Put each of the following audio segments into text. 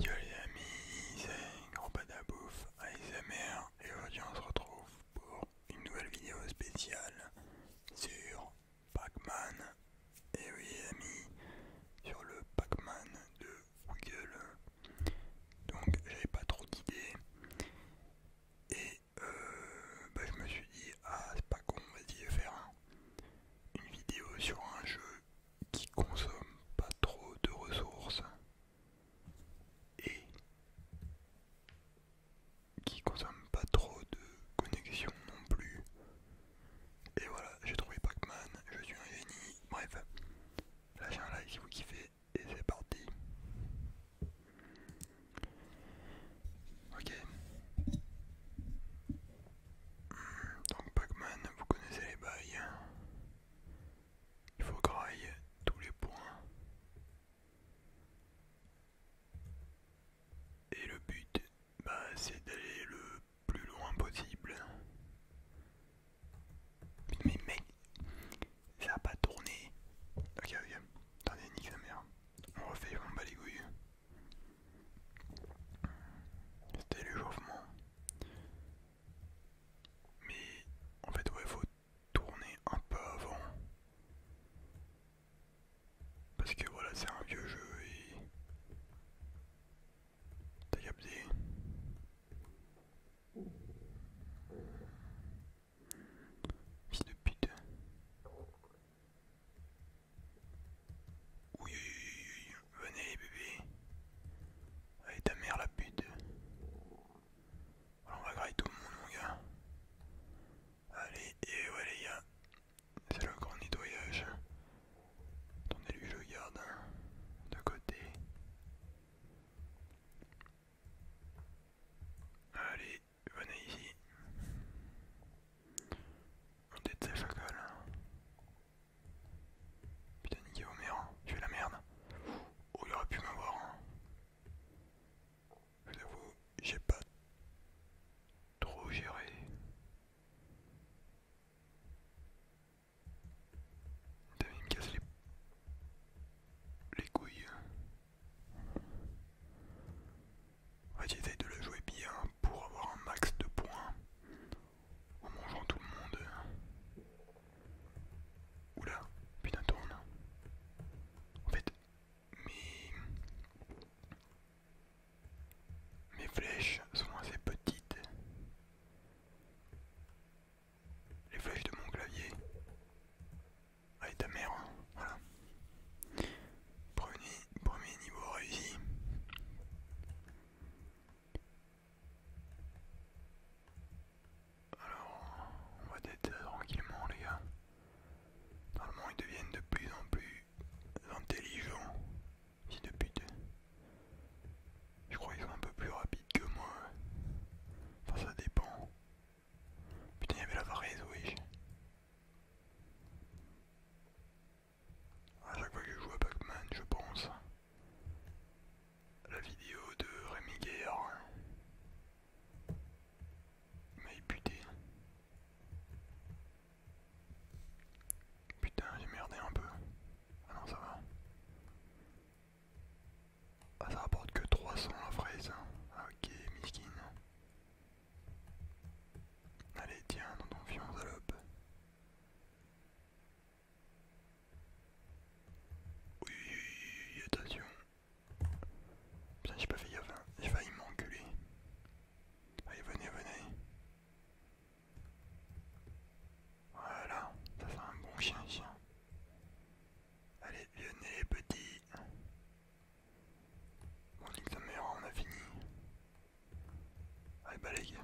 Yo les amis, c'est Gros Badabouf, et aujourd'hui on se retrouve pour une nouvelle vidéo spéciale sur Pac-Man. Et oui les amis, sur le Pac-Man de Google. Donc j'avais pas trop d'idées. Et euh, bah, je me suis dit, ah c'est pas con, vas-y faire une vidéo sur un jeu qui consomme pas trop de ressources et qui consomme pas trop de connexion non plus. Et voilà, j'ai trouvé Pac-Man, je suis un génie. Bref, lâchez un like si vous kiffez et c'est parti. Ok. Donc Pac-Man, vous connaissez les bails. Il faut grailler tous les points. Et le but, bah, c'est d'aller le plus loin possible. Mais mec, ça a pas tourné. Ok, ok. Attendez, nique sa mère. On refait, on bat les le C'était l'échauffement. Mais en fait ouais faut tourner un peu avant. Parce que voilà c'est un vieux jeu et... T'as capté Fils de pute. oui, oui venez les bébés. Allez ta mère la pute. on va grailler tout le monde mon gars. Allez, et ouais les gars. C'est le grand nettoyage. Attendez lui je garde hein, de côté. Allez, venez ici. On déteste là. Putain, niqué Homer, tu fais la merde. Oh, il aurait pu m'avoir. Hein. Je avoue, j'ai pas trop géré. Putain, il me casse les, couilles. En de le jouer bien pour avoir un max de points en mangeant tout le monde. Hein. Oula, putain tourne. En fait, mes... mes flèches sont assez petites. Les flèches de mon clavier. Allez ah, ta mère, hein. premier niveau réussi. Alors, on va peut-être tranquillement les gars. Normalement ils deviennent de plus en plus intelligents, si de pute. Je crois qu'ils sont un peu plus rapides que moi. Enfin ça dépend. Putain il y avait la varese, oui à chaque fois que je joue à Pac-Man, je pense la vidéo de Rémi Guerre. Il m'a éputé. Putain, j'ai merdé un peu. Ah non, ça va. Ah, ça rapporte que 300 la fraise. Hein. Ah, ok, miskin. Allez, tiens, dans ton fion, salope. Oui, oui, oui, attention. Putain, j'ai pas fait gaffe, hein. j'ai failli m'enculer. Allez, venez, venez. Voilà, ça fait un bon chien, chien. Allez, venez les petits. Bon, dit on a fini. Allez, bah,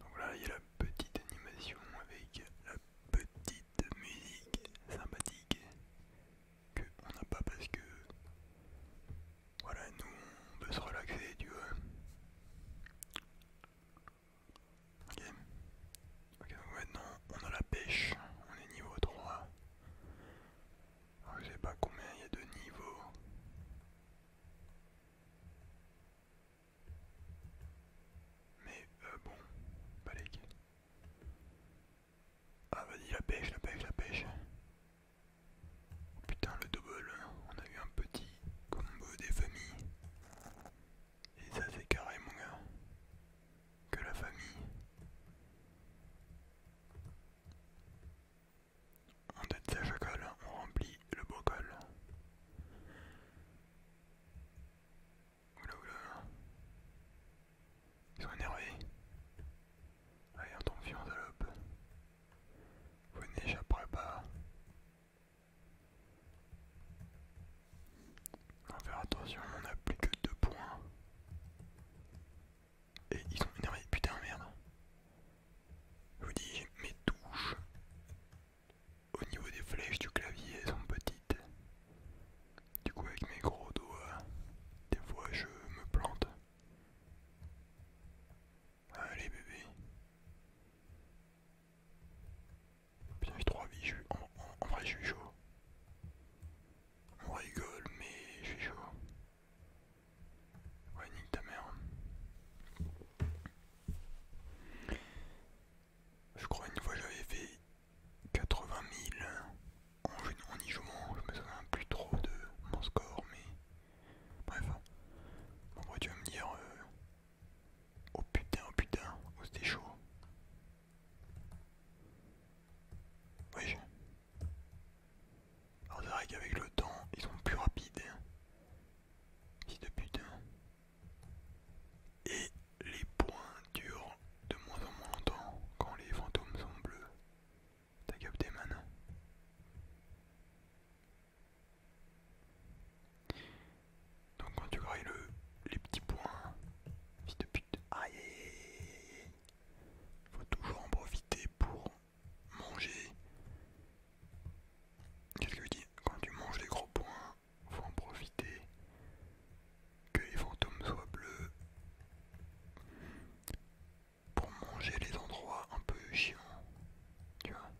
Donc là, il y a la petite animation avec la petite musique sympathique qu'on n'a pas parce que voilà, nous on peut se relaxer, tu vois. ok, donc maintenant on a la pêche, on est niveau 3 je sais pas combien il y a de niveaux. Mais euh, bon, balèque. Ah vas-y la pêche, la pêche, la pêche. Oh, putain le double, on a eu un petit combo des familles. Et ça c'est carré mon gars. Que la famille. On détient le à colle, on remplit le brocol. Oula oula. Ils sont énervés. Allez, on tombe salope. Vous n'échapperez pas. On va faire attention, on n'a plus que deux points. Et ils sont énervés. Putain, merde. Je vous dis, mes touches au niveau des flèches du clavier elles sont petites. Du coup, avec mes gros doigts, des fois je me plante. Allez, bébé. Putain, j'ai trois vies. en vrai, je suis chaud. On rigole, mais je suis chaud. Ouais, nique ta mère. Je crois une fois j'avais fait 80 000 en, y jouant, je me souviens plus trop de mon score, mais bref. Hein. En tu vas me dire euh, Oh putain, oh putain, oh c'était chaud. je. Alors c'est vrai qu'avec le temps, ils sont plus rapides. de Et les points durent de moins en moins longtemps quand les fantômes sont bleus. T'as capté man Donc quand tu grailles le, les petits points, fils de pute, faut toujours en profiter pour manger. qu'est-ce que dis quand tu manges des gros points, faut en profiter. Que les fantômes soient bleus. Pour manger les endroits un peu chiants. Tu vois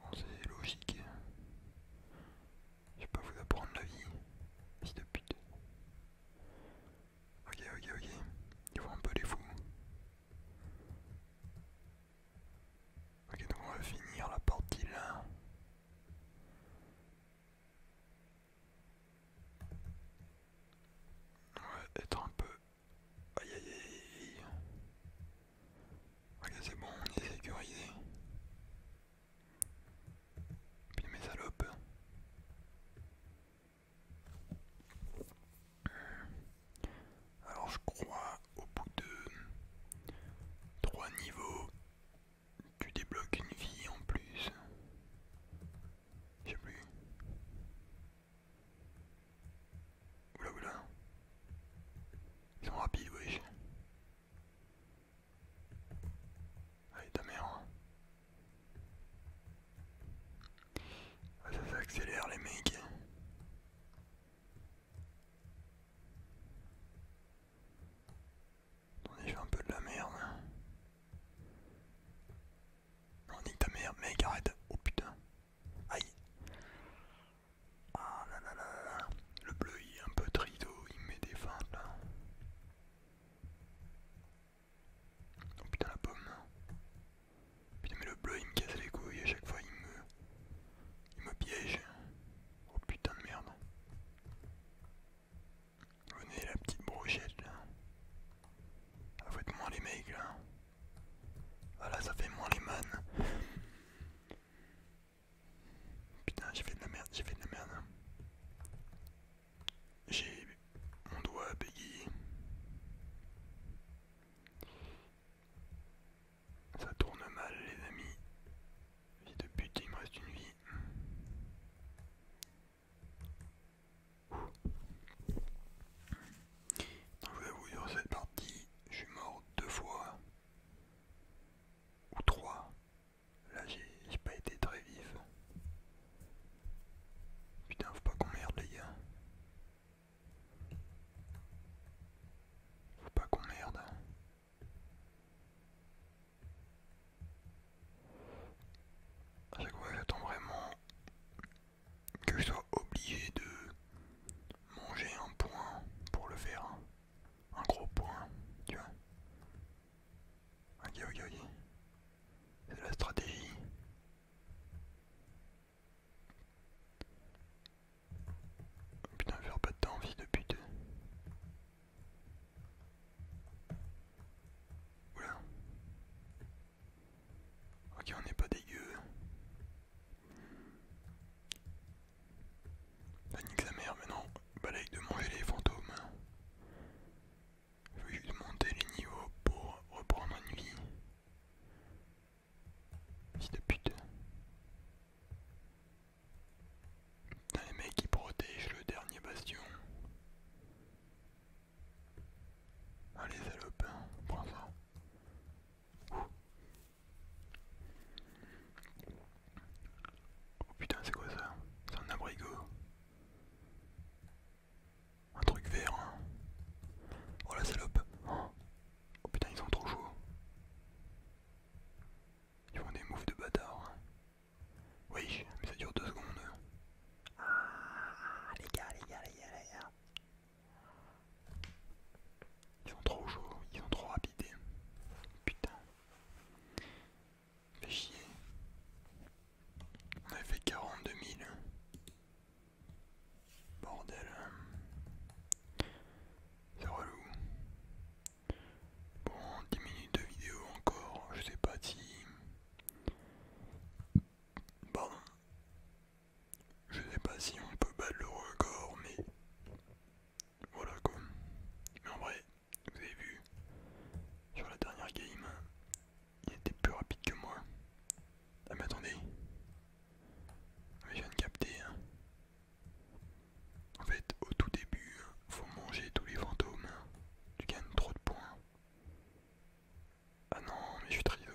Bon c'est logique. Je vais pas vous apprendre la vie. si de pute. Ok, ok, ok. Ils vont un peu les fous. Ok, donc on va finir la partie là. On va être un peu... Aïe aïe aïe. Ok, c'est bon, on est sécurisé. Puis mes salopes. Alors je crois au bout de trois niveaux tu débloques une vie en plus. Je sais plus. Oula oula. Ils sont rapides wesh. Allez ta mère. Hein. Ah, ça s'accélère les mecs. On est fait un peu de la merde. On nique ta merde, mec, arrête. Oh putain. Aïe. Ah là là là là. Le bleu il est un peu trito, oh, il met des fentes là. Oh putain la pomme. Putain mais le bleu il me casse les couilles à chaque fois il me. Il me piège. Oh putain de merde. Venez la petite brochette là. Ah faites moins les mecs là. Voilà ah, ça fait moins les man. Putain j'ai fait de la merde, j'ai fait de la merde. J'ai mon doigt à Peggy. Ça tourne mal les amis. Vie de pute, il me reste une vie. Je vais vous dire cette partie, je suis mort deux fois. Ou trois. Là j'ai pas été très vif. Putain faut pas qu'on merde les gars. Faut pas qu'on merde. A chaque fois j'attends vraiment que je sois obligé de manger un point pour le faire. Un gros point, tu vois. Ok, ok, ok. C'est la stratégie. putain, faire pas de temps, envie de pute. Oula. Ok, on n'est pas dégueu. Ça nique sa mère maintenant. Balaye de manger les fantômes. Je juste monter les niveaux pour reprendre une vie. Fils de pute. Putain, les mecs qui protègent le dernier bastion. Allez, salope, hein, prends ça. Oh putain, c'est quoi ça C'est un abrigo. Un truc vert. Hein. Oh la salope. Oh putain, ils sont trop chauds. Ils font des moves de bâtard. Oui, hein. mais ça dure deux secondes. Ah, les gars, les gars, les gars, les gars. Ils sont trop chauds, ils sont trop rapides. Putain chier. On a fait 42 000. Bordel. Hein. C'est relou. Bon, 10 minutes de vidéo encore. Je sais pas si... Bon. Je sais pas si on peut battre le record, mais... Voilà quoi. Mais en vrai, vous avez vu, sur la dernière game, il était plus rapide que moi. Ah mais attendez, je viens de capter. Hein. En fait, au tout début, faut manger tous les fantômes. Tu gagnes trop de points. Ah non, mais je suis trio.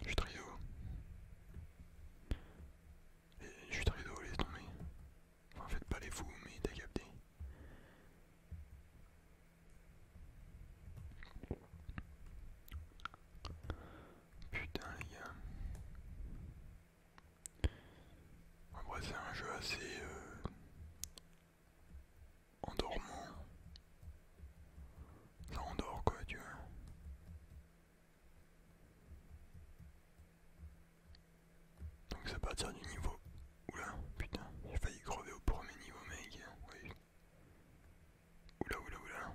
Je suis trio. je suis trio, laisse tomber. En fait, pas les fous, mais t'as capté. Putain, les gars. c'est un jeu assez euh, endormant. Ça endort, quoi, tu vois. Donc ça part partir du niveau. Oula, putain, j'ai failli crever au premier niveau, mec. Oui. Oula, oula, oula.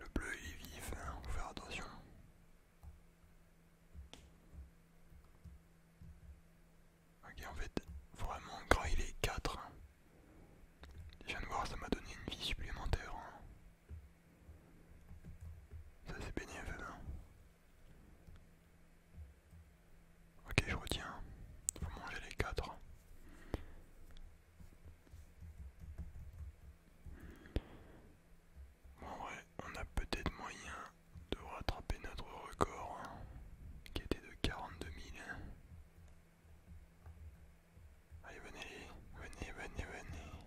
Le bleu il est vif, hein. faut faire attention. Ok, en fait, vraiment, gras il est 4. Je viens de voir, ça m'a donné une vie supplémentaire. Hein. Ça c'est bénévole. Hein. Ok, je retiens. Faut manger les quatre. Bon, en on a peut-être moyen de rattraper notre record hein, qui était de 42 000. Hein. Allez, venez, venez, venez, venez.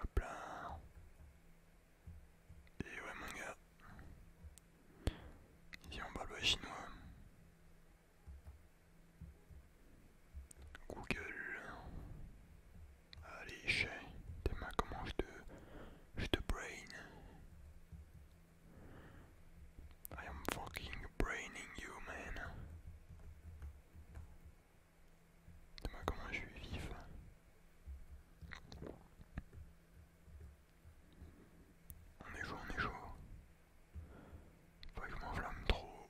Hop là. Et ouais mon gars. Ici on parle chinois. Google. Allez chez. T'es ma comment je te. je te brain. I am fucking braining you, man. Dis-moi comment je suis vif. On est chaud, on est chaud. Faut que je m'enflamme trop.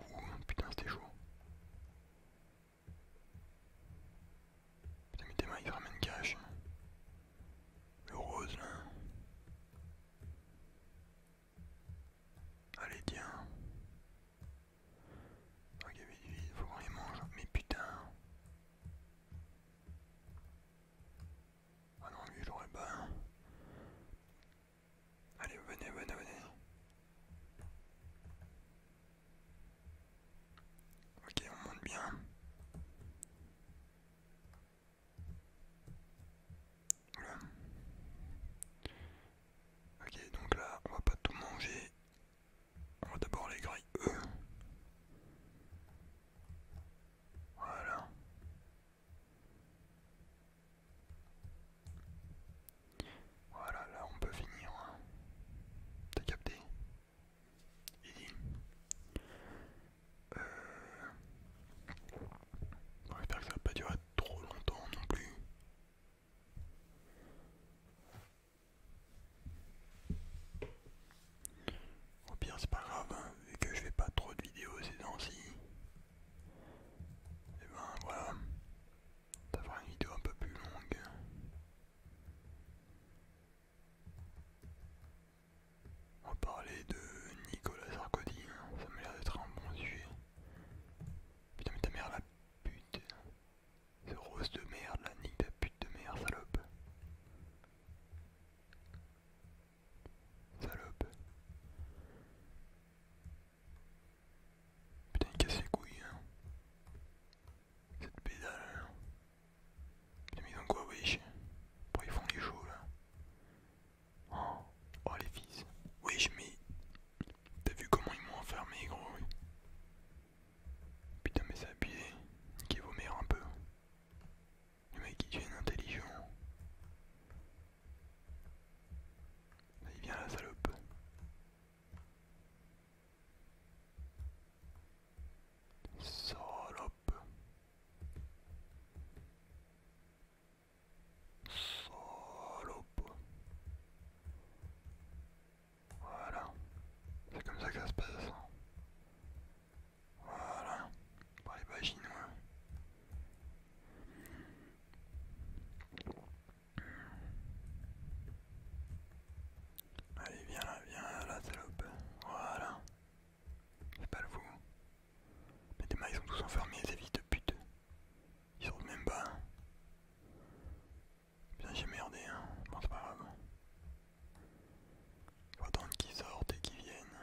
Ouh, putain, c'était chaud. Putain, mais demain, il ils ramènent cash. Le rose, là. Allez, tiens. Ok, il faut qu'on y mange. Mais putain. Ah non, lui, j'aurais pas. Hein. Allez, venez, venez, venez. Ok, on monte bien. Ok, donc là, on va pas tout manger. On va d'abord les grilles Voilà. Voilà, là on peut finir. Hein. T'as capté Bon, euh, que ça va pas durer trop longtemps non plus. Au pire, c'est pas grave, hein. vu que je fais pas trop de vidéos ces temps-ci. Et eh ben voilà, ça fera une vidéo un peu plus longue. On va parler de Nicolas Sarkozy, hein. ça m'a l'air d'être un bon sujet. Putain mais ta mère la pute. Ce rose de merde, la nique la pute de merde, salope. Salope. Putain il casse les couilles hein. Cette pédale hein. Putain mais ils quoi wesh Pourquoi ils font les choses là Oh, les fils. Wesh, mais. T'as vu comment ils m'ont enfermé, gros Putain, mais c'est Qui vomit un peu. Le mec, il devient intelligent. il vient la salope. Salope. Salope. Voilà. C'est comme ça que ça se passe. Voilà. Par les bagines, Allez, viens là, viens là, salope. Voilà. C'est pas le fou. Mais des ils sont tous enfermés, ces vite de pute. Ils sortent même pas. Bien j'ai merdé hein, bon c'est pas grave. Faut attendre qu'ils sortent et qu'ils viennent.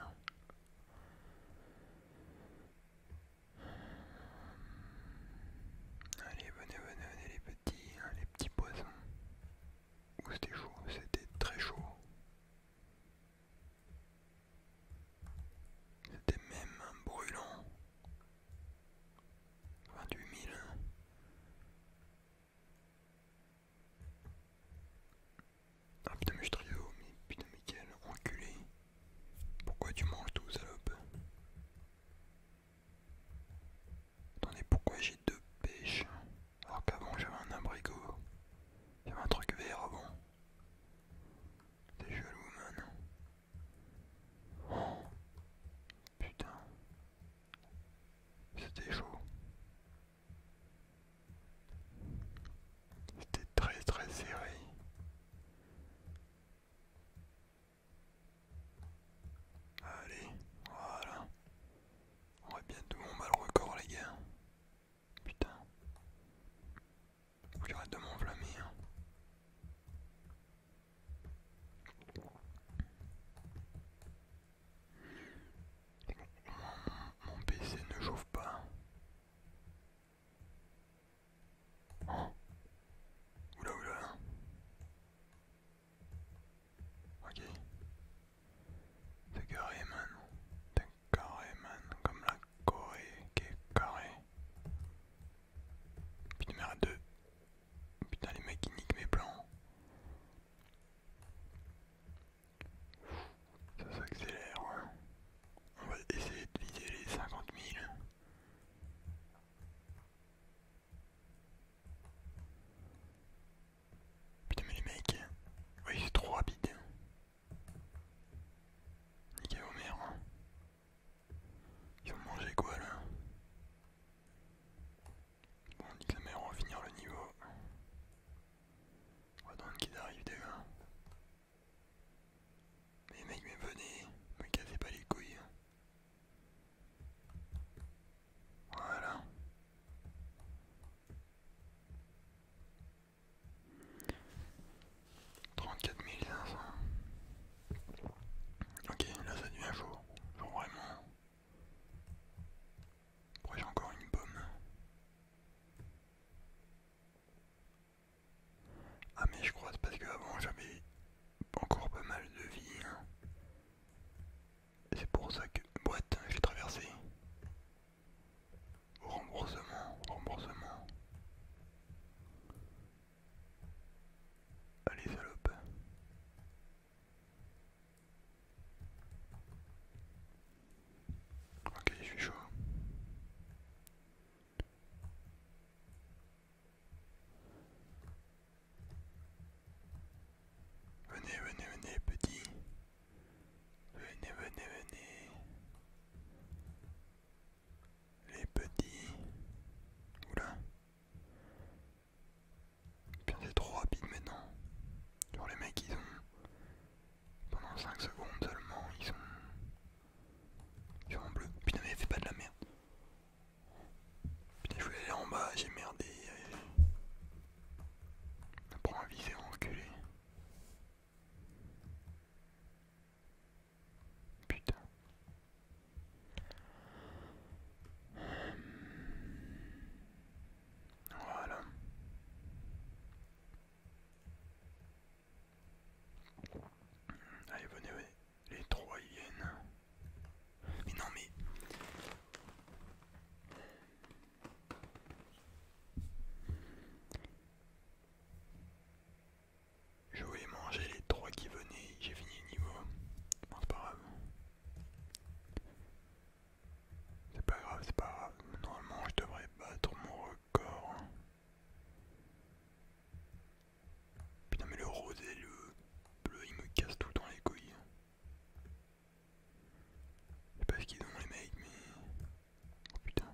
Allez, venez, venez, venez les petits, hein, les petits poissons. c'était chaud, c'était très chaud. C'était même brûlant. 28 000. Ah, putain mais mais putain enculé. Pourquoi tu manges tout salope Attendez, pourquoi j'ai deux pêches alors qu'avant j'avais un abricot J'avais un truc vert avant jaloux maintenant. C'était chaud. C'était très très serré. Allez, voilà. On va bientôt on Mal record les gars. Putain. J'arrête de m'enflammer. Hein. Mon, PC ne chauffe pas. Oh. Oula oula. Ok. T'as garé man. T'as carré man, comme la Corée qui est carré. Putain merde 2. Putain les mecs ils niquent mes plans. Ça s'accélère. On va essayer de viser les 50 000. Putain mais les mecs, oui c'est trop rapide. Niqué Homer. Hein. Ils vont manger quoi là Bon, on on va finir le niveau. On va attendre qu'il arrive déjà. Mais mec, mais venez, me cassez pas les couilles. Hein. Voilà. 34 500. Ok, là ça devient chaud. Genre vraiment. j'ai encore une pomme Ah mais je crois c'est parce qu'avant j'avais encore pas mal de vie. Hein. C'est pour ça que boîte, j'ai traversé au remboursement, au remboursement. Allez salope. Ok, je suis chaud. Venez, venez, venez, petit. Venez, venez, venez les petits. Oula. Putain, c'est trop rapide maintenant. Genre, les mecs, ils ont. Pendant 5 secondes seulement, ils sont. en bleu. Putain, mais fais pas de la merde. Putain, je voulais aller en bas, j'ai merdé. Prends un visé enculé. Putain. Voilà. Allez, venez, venez. Les trois Mais non, mais... Je vais manger les trois qui venaient, j'ai fini le niveau. c'est pas grave. C'est pas grave, c'est pas grave. Normalement, je devrais battre mon record. Putain, mais le rose et le bleu, il me casse tout dans les couilles. Je sais pas ce qu'ils ont les mecs, mais... Oh putain.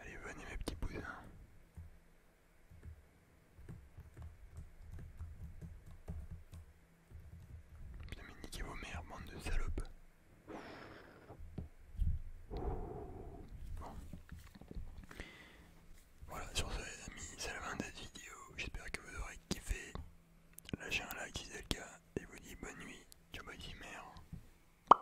Allez, venez mes petits bousins. Putain, mais vos mères, bande de salopes. Voilà, sur ce, les amis, c'est la fin de cette vidéo. J'espère que vous aurez kiffé. Lâchez un like si c'est le cas. Et vous dis bonne nuit. Ciao, bonne mère.